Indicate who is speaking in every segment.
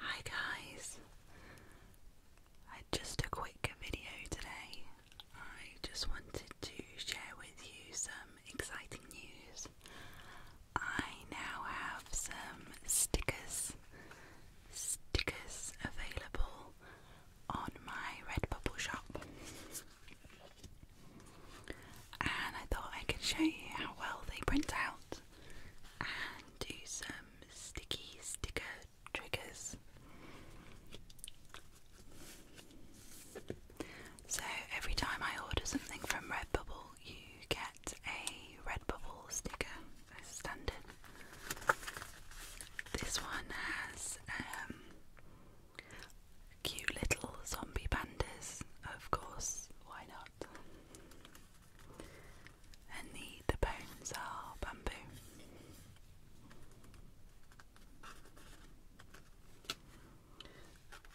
Speaker 1: Hi guys, I just a quick video today. I just wanted to share with you some exciting news. I now have some stickers, stickers available on my Redbubble shop. And I thought I could show you how well they print out and do some sticky sticker triggers. So every time I order something from Redbubble, you get a Redbubble sticker as standard. This one has um, Cute little zombie pandas, of course, why not? And the, bones are bamboo.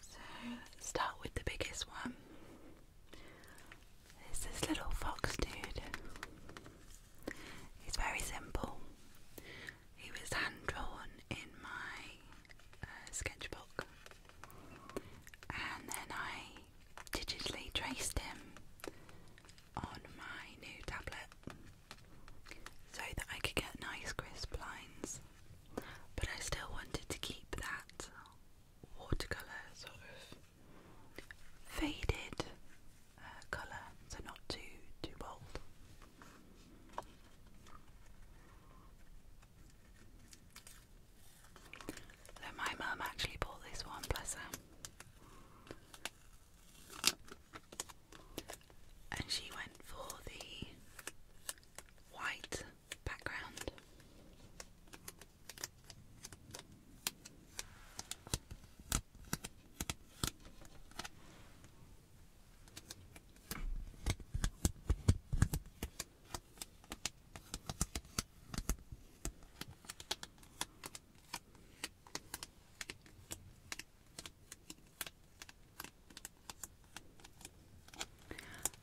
Speaker 1: So start with the biggest one. It's this little fox dude. It's very simple. It was hand drawn in my uh, sketchbook, and then I digitally traced him on my new tablet so that I could get nice crisp lines. But I still wanted to keep that watercolour sort of faded uh, colour, so not too too bold. So my mum actually bought this one, bless her, and she went for the white background.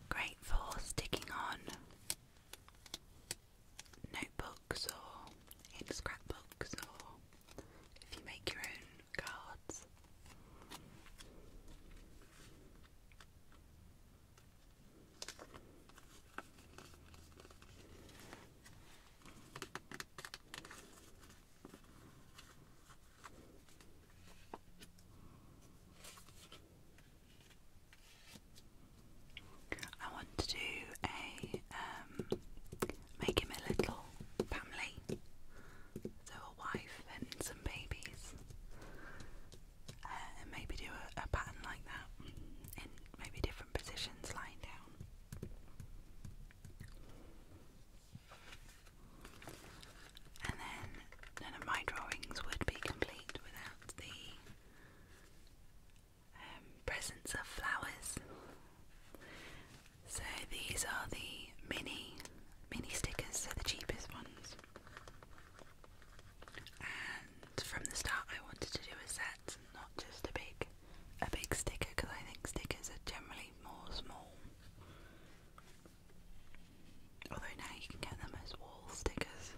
Speaker 1: Great for sticking on notebooks or scrapbooks or if you make your own cards. I want to do a um, make him a little family, so a wife and some babies, uh, and maybe do a pattern like that in maybe different positions lying down. And then none of my drawings would be complete without the um, presents of flowers. So these are the mini mini stickers, so the cheapest ones. And from the start, I wanted to do a set, not just a big a big sticker, because I think stickers are generally more small. Although now you can get them as wall stickers.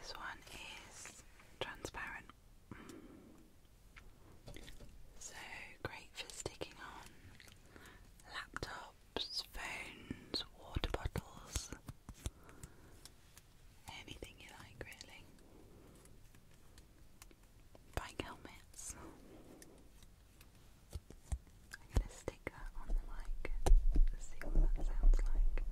Speaker 1: This one is transparent. So great for sticking on laptops, phones, water bottles, anything you like, really. Bike helmets. I'm gonna stick that on the mic and see what that sounds like.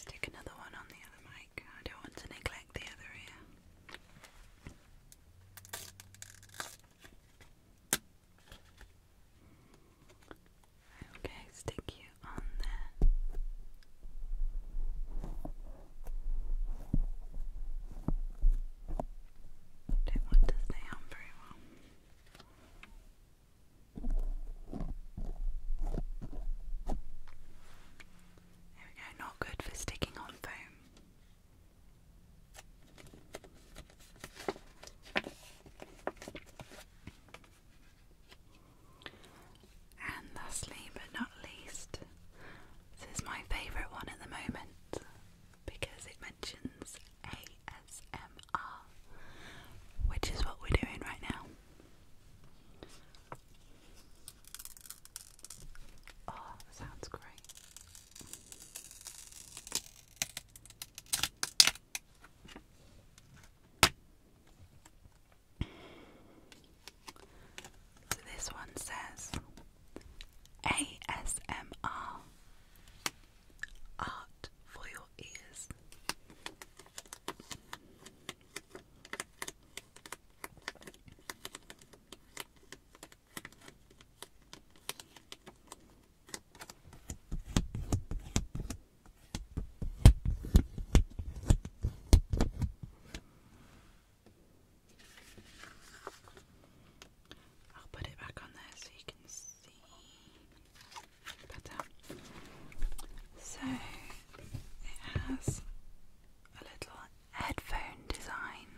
Speaker 1: stick another one on the other mic, I don't want to neglect the other ear. Okay, stick you on there. Don't want to stay very well. There we go, not good for sticking on foam. And lastly but not least, this is my favourite one at the moment because it mentions ASMR, which is what we're doing right now. Oh, that sounds great. So this one says ASMR Art for your ears. I'll put it back on there so you can see So it has a little headphone design.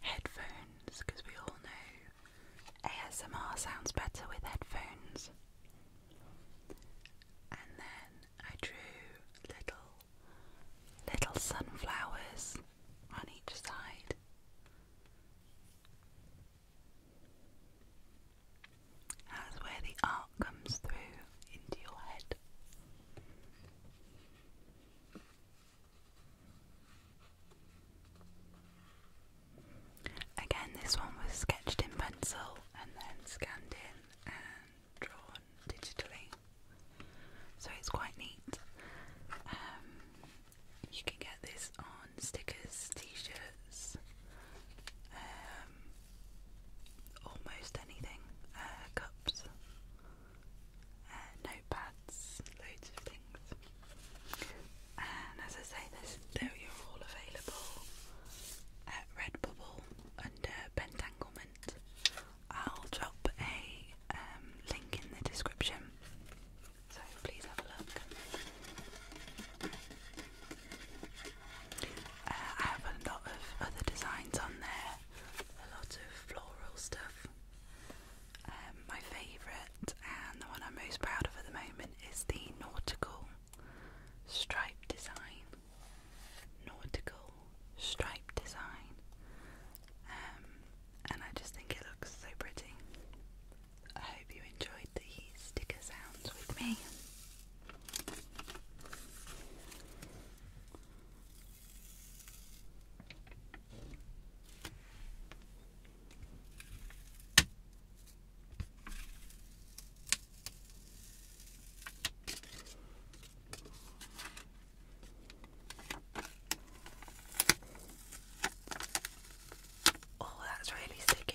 Speaker 1: Headphones, because we all know ASMR sounds better with headphones. And then I drew little, little sunflowers on each side. That's where the art comes through into your head. Again, this one was sketched in pencil and then scanned in and drawn digitally. So it's quite neat. Um, you can get this on stickers, t shirts, um, almost anything uh, cups, uh, notepads, loads of things. And as I say, this, they are all available at Redbubble under Pentanglement. I'll drop a um, link in the description, so please have a look. Uh, I have a lot of other designs on there, a lot of floral stuff. Um, my favourite and the one I'm most proud of at the moment is the nautical stripe design. Nautical stripe design. Um, and I just think it looks so pretty. I hope you enjoyed the sticker sounds with me. Oh, that's really sticky.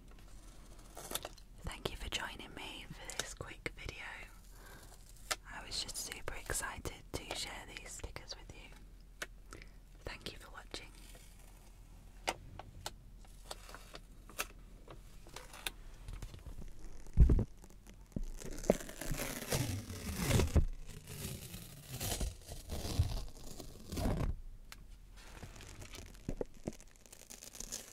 Speaker 1: Thank you for joining me for this quick video. I was just super excited to share these stickers with you. Thank you for watching.